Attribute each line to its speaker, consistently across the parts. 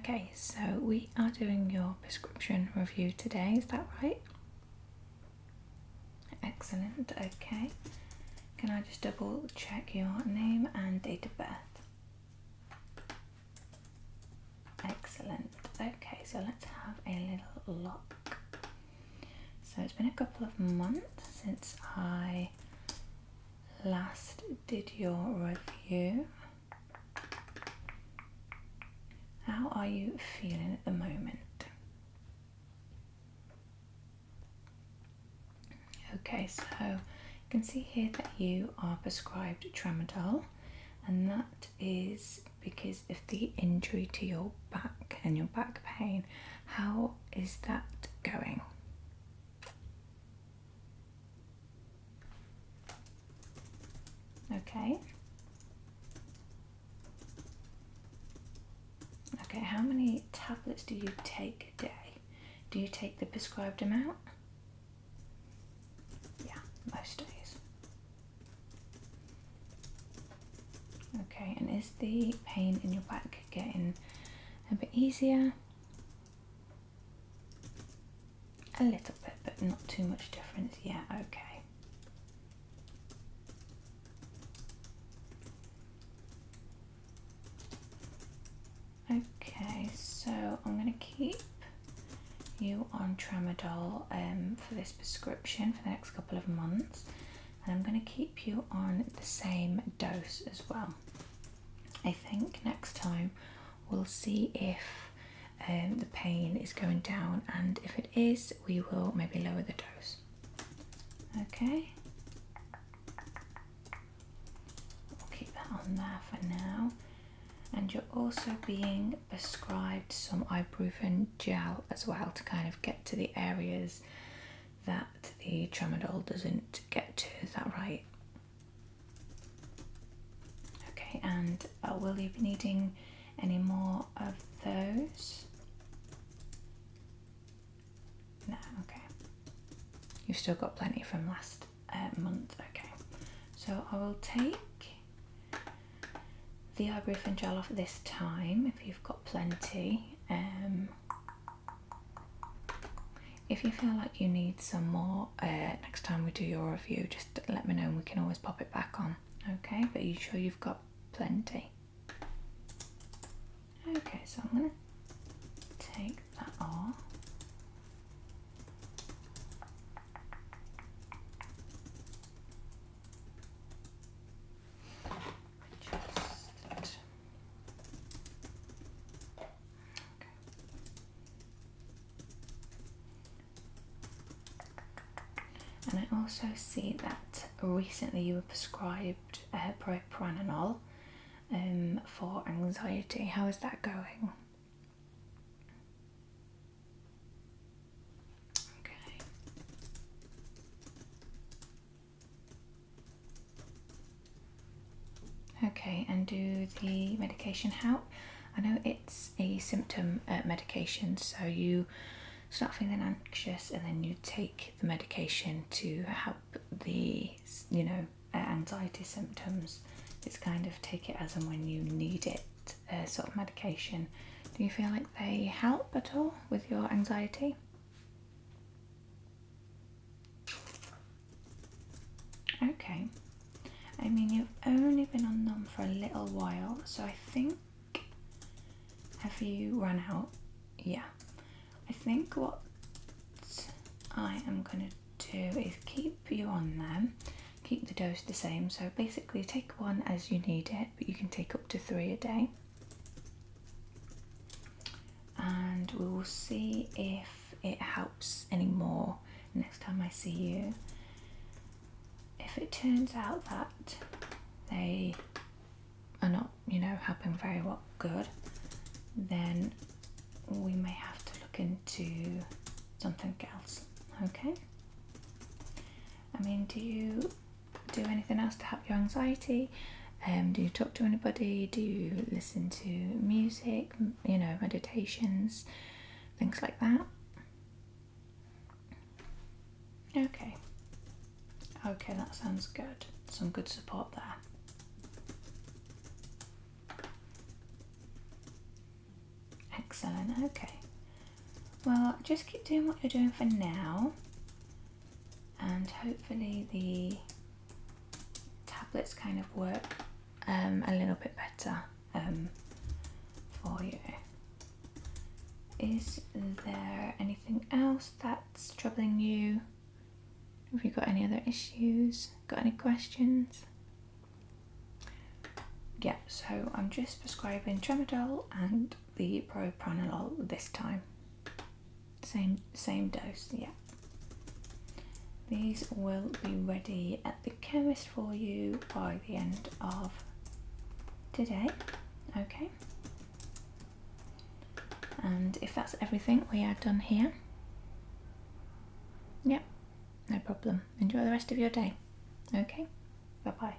Speaker 1: Okay, so we are doing your prescription review today, is that right? Excellent, okay. Can I just double check your name and date of birth? Excellent, okay, so let's have a little look. So it's been a couple of months since I last did your review. How are you feeling at the moment? Okay, so you can see here that you are prescribed tramadol, and that is because of the injury to your back and your back pain. How is that going? Okay. Okay, how many tablets do you take a day? Do you take the prescribed amount? Yeah, most days. Okay, and is the pain in your back getting a bit easier? A little bit, but not too much difference. Yeah, okay. Okay, so I'm going to keep you on tramadol um, for this prescription for the next couple of months, and I'm going to keep you on the same dose as well. I think next time we'll see if um, the pain is going down and if it is we will maybe lower the dose. Okay. We'll keep that on there for now. And you're also being prescribed some ibuprofen gel as well to kind of get to the areas that the tramadol doesn't get to. Is that right? Okay, and uh, will you be needing any more of those? No, okay. You've still got plenty from last uh, month, okay. So I will take the eye ibuprofen gel off this time if you've got plenty. Um, if you feel like you need some more uh, next time we do your review, just let me know and we can always pop it back on. Okay, but you sure you've got plenty? Okay, so I'm gonna take that off. Just and I also see that recently you were prescribed uh, propranolol um, for anxiety. How is that going? Okay, and do the medication help? I know it's a symptom uh, medication, so you start feeling anxious and then you take the medication to help the, you know, uh, anxiety symptoms. It's kind of take it as and when you need it uh, sort of medication. Do you feel like they help at all with your anxiety? Okay, I mean, you've only been on them for a little while, so I think. Have you run out? Yeah. I think what I am going to do is keep you on them, keep the dose the same. So basically, take one as you need it, but you can take up to three a day and we will see if it helps anymore next time I see you. If it turns out that they are not, you know, helping very well, good, then we may have to look into something else. Okay. I mean, do you do anything else to help your anxiety? Um, do you talk to anybody? Do you listen to music? You know, meditations, things like that. Okay. Okay, that sounds good. Some good support there. Excellent, okay. Well, just keep doing what you're doing for now and hopefully the tablets kind of work um, a little bit better um, for you. Is there anything else that's troubling you? Have you got any other issues? Got any questions? Yeah, so I'm just prescribing tramadol and the propranolol this time. Same, same dose, yeah. These will be ready at the chemist for you by the end of today. Okay. And if that's everything we are done here, yep, no problem. Enjoy the rest of your day. Okay, bye bye.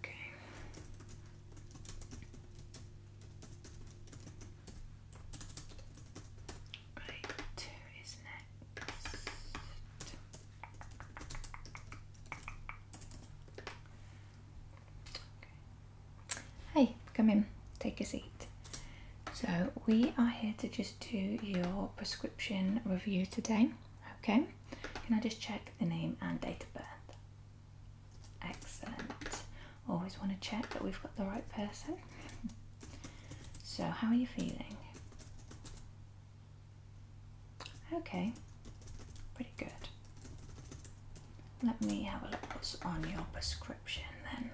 Speaker 1: Okay. Right, two is next. Hey, come in, take a seat. So, we are here to just do your prescription review today. Okay, can I just check the name and date of birth? Excellent. Always want to check that we've got the right person. so, how are you feeling? Okay, pretty good. Let me have a look what's on your prescription then.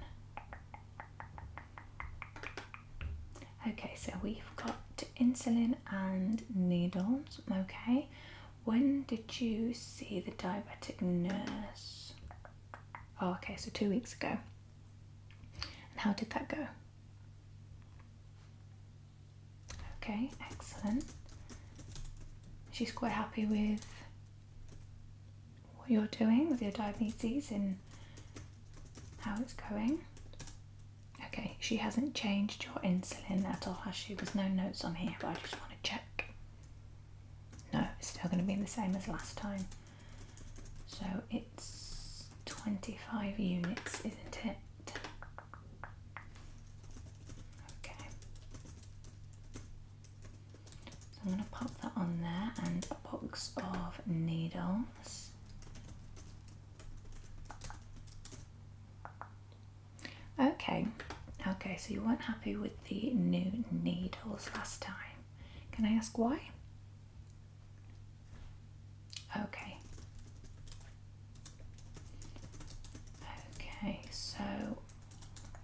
Speaker 1: Okay, so we've got insulin and needles. Okay, when did you see the diabetic nurse? Oh, okay, so two weeks ago. And how did that go? Okay, excellent. She's quite happy with what you're doing with your diabetes and how it's going. Okay, she hasn't changed your insulin at all, has she? There's no notes on here, but I just want to check. No, it's still going to be the same as last time. So it's 25 units, isn't it? Okay. So I'm going to pop that on there and a box of needles. Okay, okay, so you weren't happy with the new needles last time. Can I ask why? Okay. Okay, so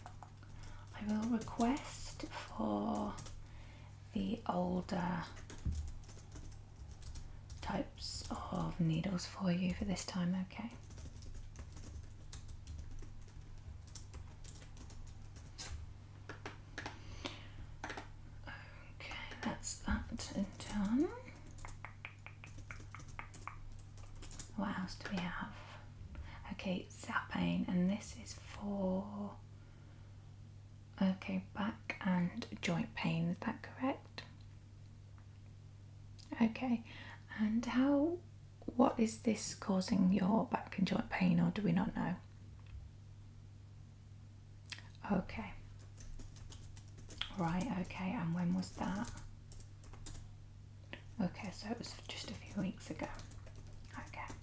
Speaker 1: I will request for the older types of needles for you for this time, okay? Okay, that's that done. What else do we have? Okay, Zapane, and this is for okay back and joint pain. Is that correct? Okay, and how, what is this causing your back and joint pain, or do we not know? Okay. Right, okay, and when was that? Okay, so it was just a few weeks ago. Okay.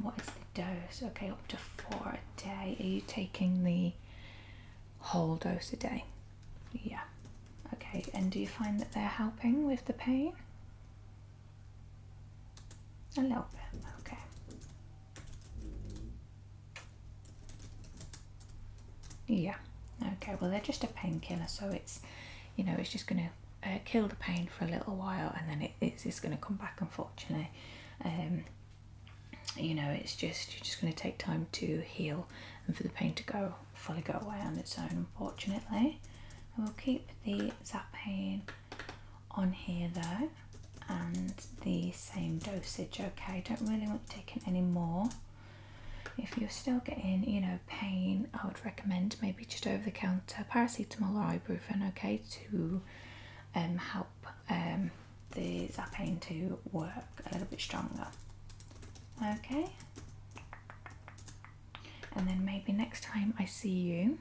Speaker 1: What is the dose? Okay, up to four a day. Are you taking the whole dose a day? Yeah. Okay, and do you find that they're helping with the pain? A little bit, okay. Yeah, okay, well, they're just a painkiller, so it's, you know, it's just going to uh, kill the pain for a little while and then it, it's, it's going to come back unfortunately um, you know it's just you're just going to take time to heal and for the pain to go fully go away on its own unfortunately we will keep the zap pain on here though and the same dosage okay don't really want to take it anymore. if you're still getting you know pain i would recommend maybe just over the counter paracetamol or ibuprofen okay to um, help um, the zapane to work a little bit stronger. Okay, and then maybe next time I see you,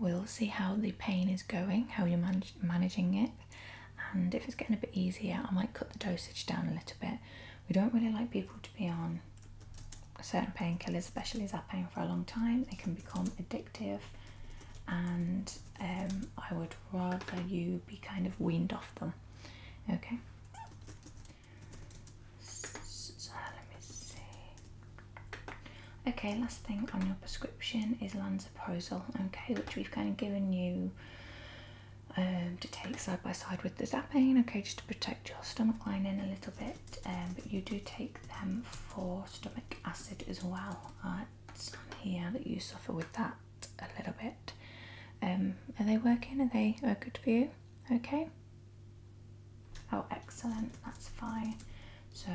Speaker 1: we'll see how the pain is going, how you're managing it, and if it's getting a bit easier, I might cut the dosage down a little bit. We don't really like people to be on certain painkillers, especially Zapain, for a long time, they can become addictive, and um, I would rather you be kind of weaned off them. Okay. So uh, let me see. Okay, last thing on your prescription is lansoprazole. Okay, which we've kind of given you. Um, to take side by side with the Zapane, okay, just to protect your stomach lining a little bit. Um, but you do take them for stomach acid as well. Right? Uh, it's here that you suffer with that a little bit. Um, are they working? Are they good for you? Okay. Oh, excellent. That's fine. So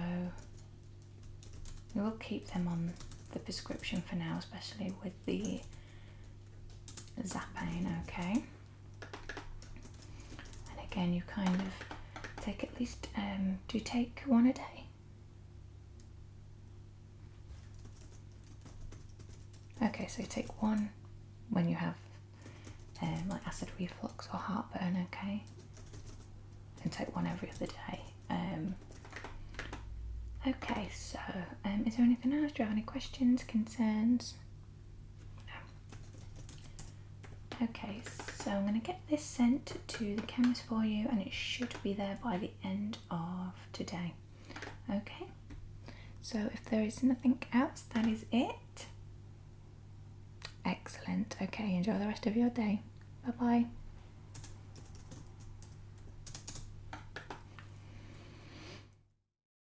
Speaker 1: we will keep them on the prescription for now, especially with the zappane. Okay. And again, you kind of take at least, um, do take one a day? Okay, so take one when you have um, like acid reflux or heartburn, okay? And take one every other day. Um. okay, so is there anything else? Do you have any questions, concerns? Okay, so I'm going to get this sent to the chemist for you and it should be there by the end of today. Okay, so if there is nothing else, that is it. Excellent. Okay, enjoy the rest of your day. Bye bye.